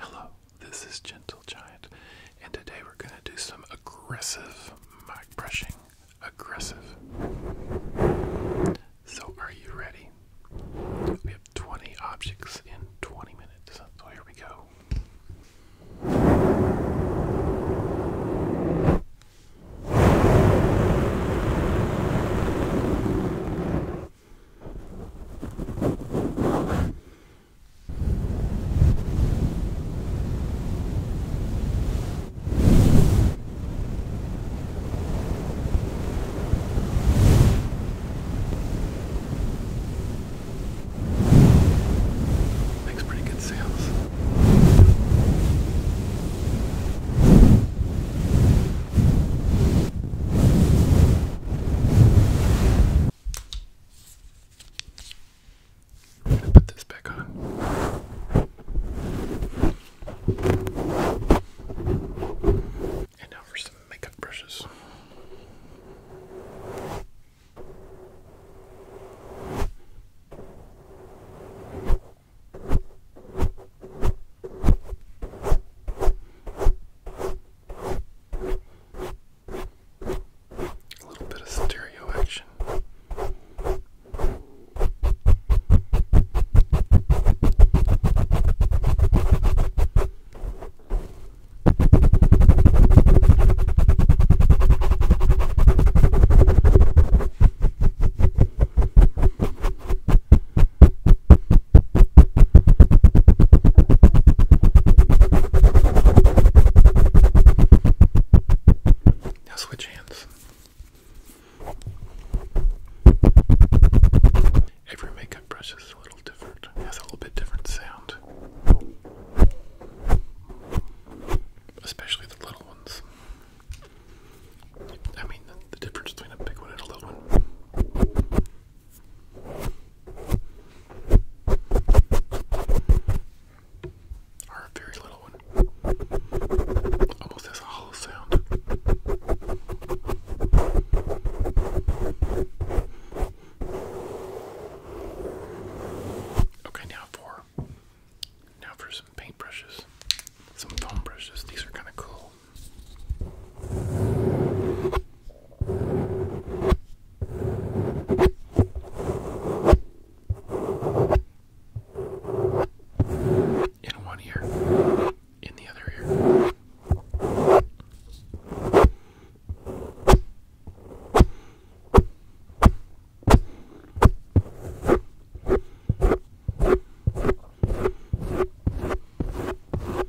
Hello, this is Gentle Giant, and today we're going to do some aggressive mic brushing. Aggressive. So, are you ready? We have 20 objects in 20 minutes, so here we go. Makes pretty good sounds. I'm gonna put this back on. And now for some makeup brushes. A little bit of stereo action. Now switch hands. Every makeup brush is a little different, has a little bit different sound. Especially the little ones. I mean, the difference between a big one and a little one or a very little one. Almost has a hollow sound. Okay, now for now for some paint brushes. Some foam brushes. These are kind of cool in one ear, in the other ear.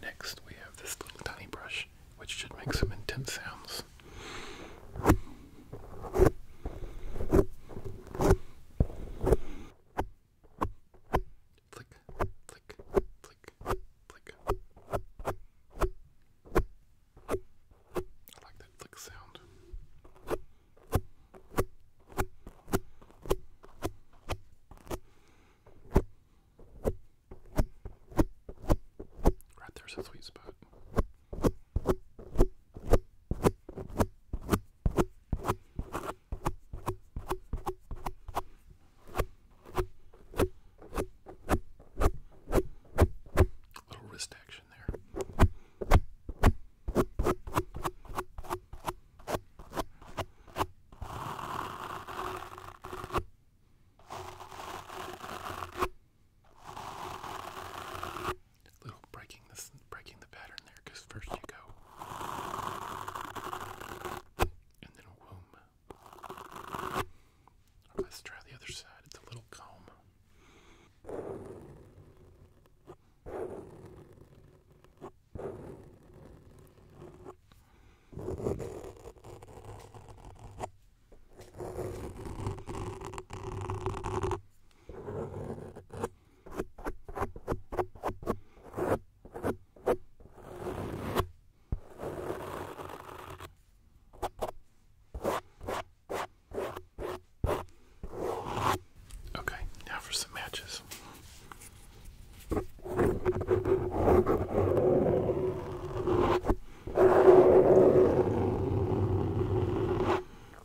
Next, we have this little tiny brush, which should make some intense sounds. Flick, flick, flick, flick. I like that flick sound. Right there's a sweet spot. Little wrist action there little breaking this, breaking the pattern there, because first you go, and then womb. Let's try the other side. It's a little comb. Okay, now for some matches.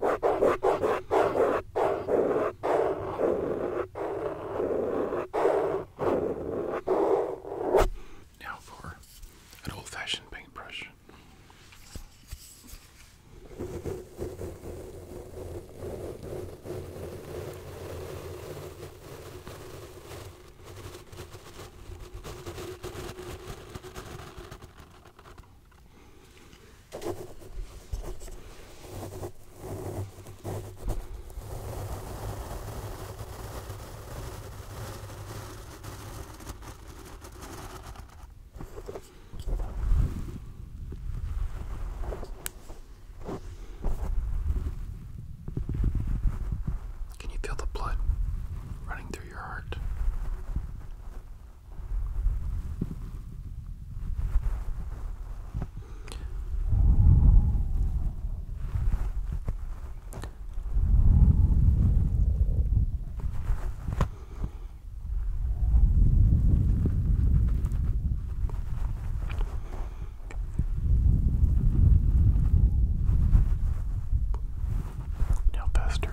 Now for an old fashioned paintbrush. Can you feel the blood running through your heart? Now, Pastor,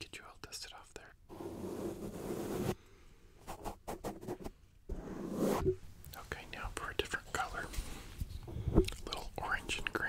Get you all dusted off there. Okay, now for a different color. A little orange and green.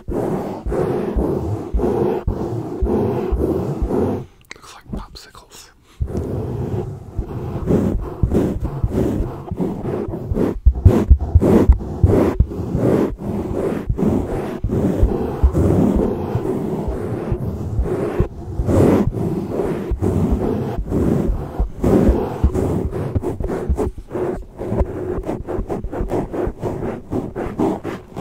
Looks like popsicles. Okay,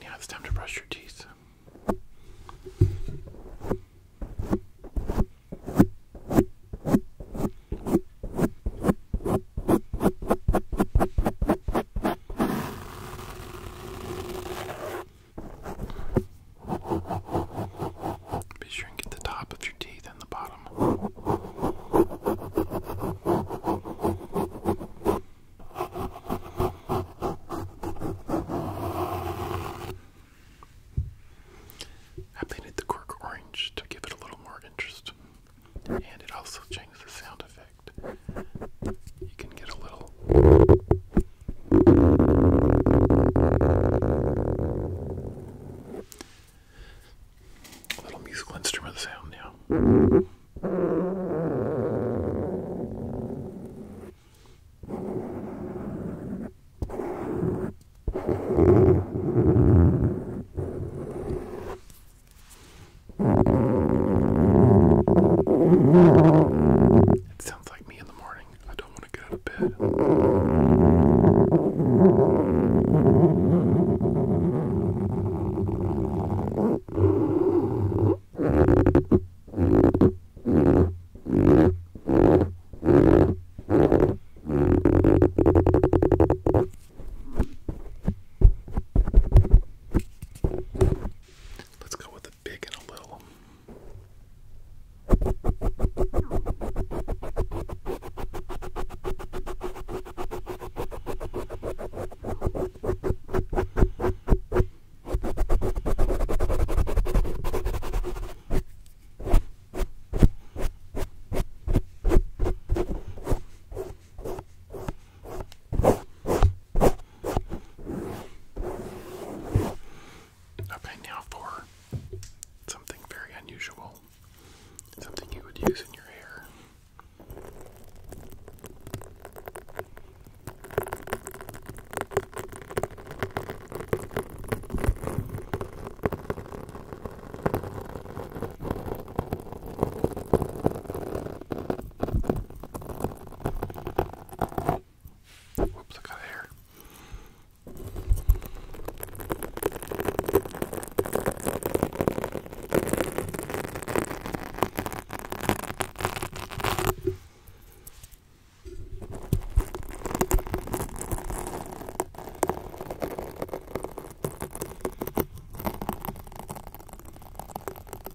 now it's time to brush your teeth. Be sure and get the top of your teeth and the bottom. I painted the cork orange to give it a little more interest, and it also changes the sound effect you can get a little. A little musical instrument sound, now. It sounds like me in the morning. I don't want to get out of bed. Let's go with a big and a little. Okay, now for something very unusual, something you would use in your hair. Whoops, I got hair.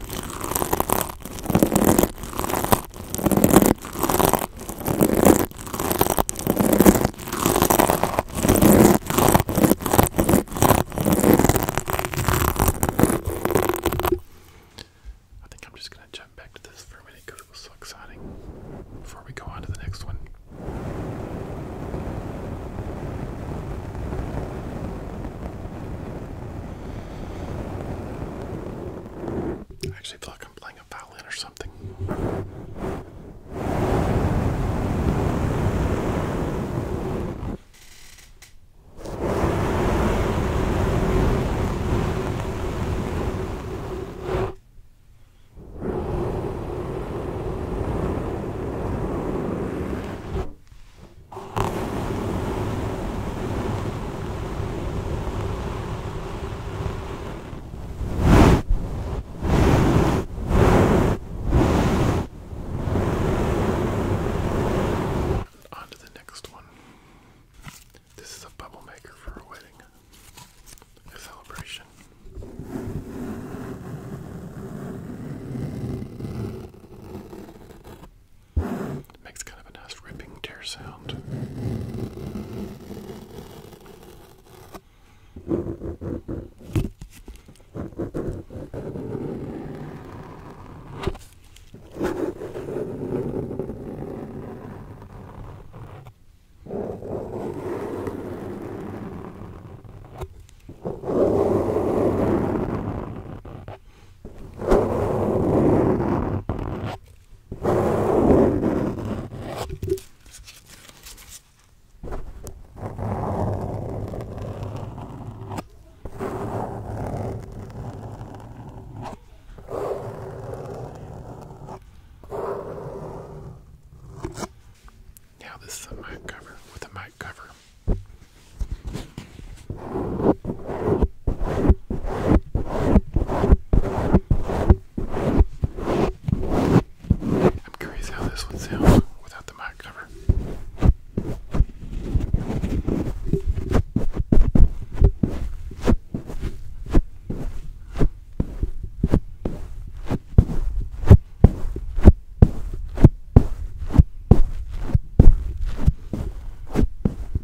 I think I'm just going to jump back to this for a minute because it was so exciting before we go on to the next one. I actually feel like I'm playing a violin or something. On to the next one. This is a bubble maker for a wedding, a celebration. It makes kind of a nice ripping tear sound. Now this is a mic cover with a mic cover. I'm curious how this would sound without the mic cover.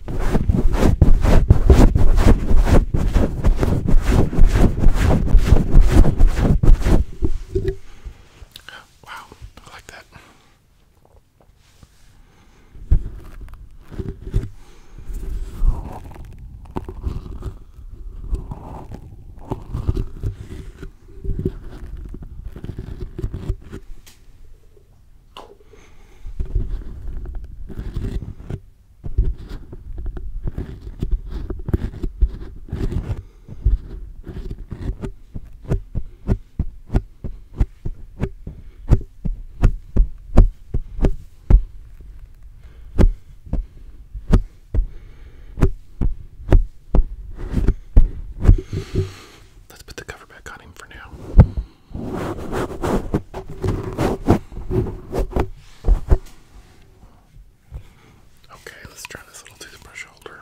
Wow, I like that. Let's put the cover back on him for now. Okay, let's try this little toothbrush holder.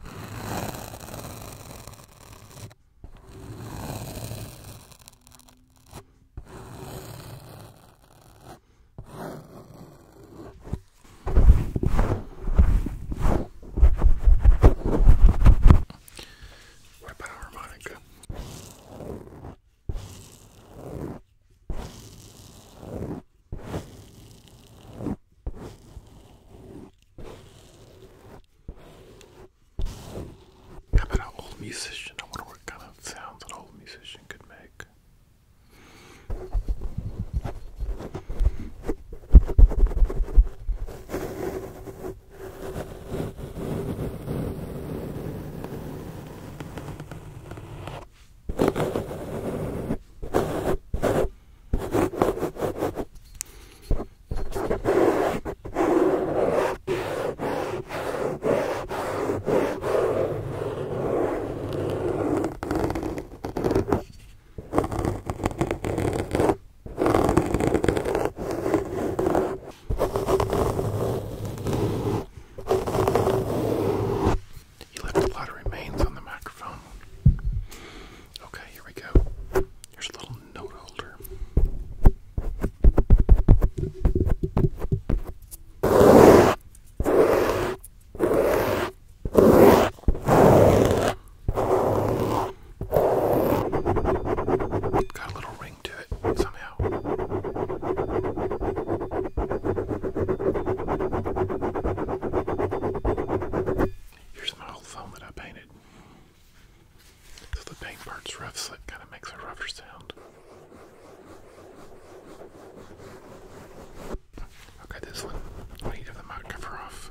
What about harmonica? How about an old musician? I wonder what kind of sounds an old musician could make. You left a lot of remains on the microphone. Okay, here we go. Here's a little note holder. Got a little ring to it somehow. Here's my old phone that I painted. So the paint part's rough, so it kind of makes a rougher sound. Okay, this one. I need to the mic cover off.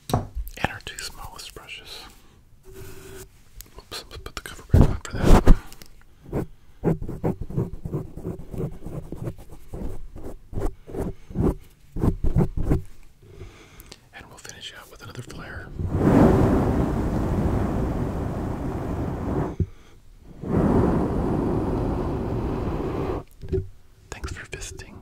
and our two smallest brushes. Oops, put the cover back on for that. And we'll finish out with another flare. Thanks for visiting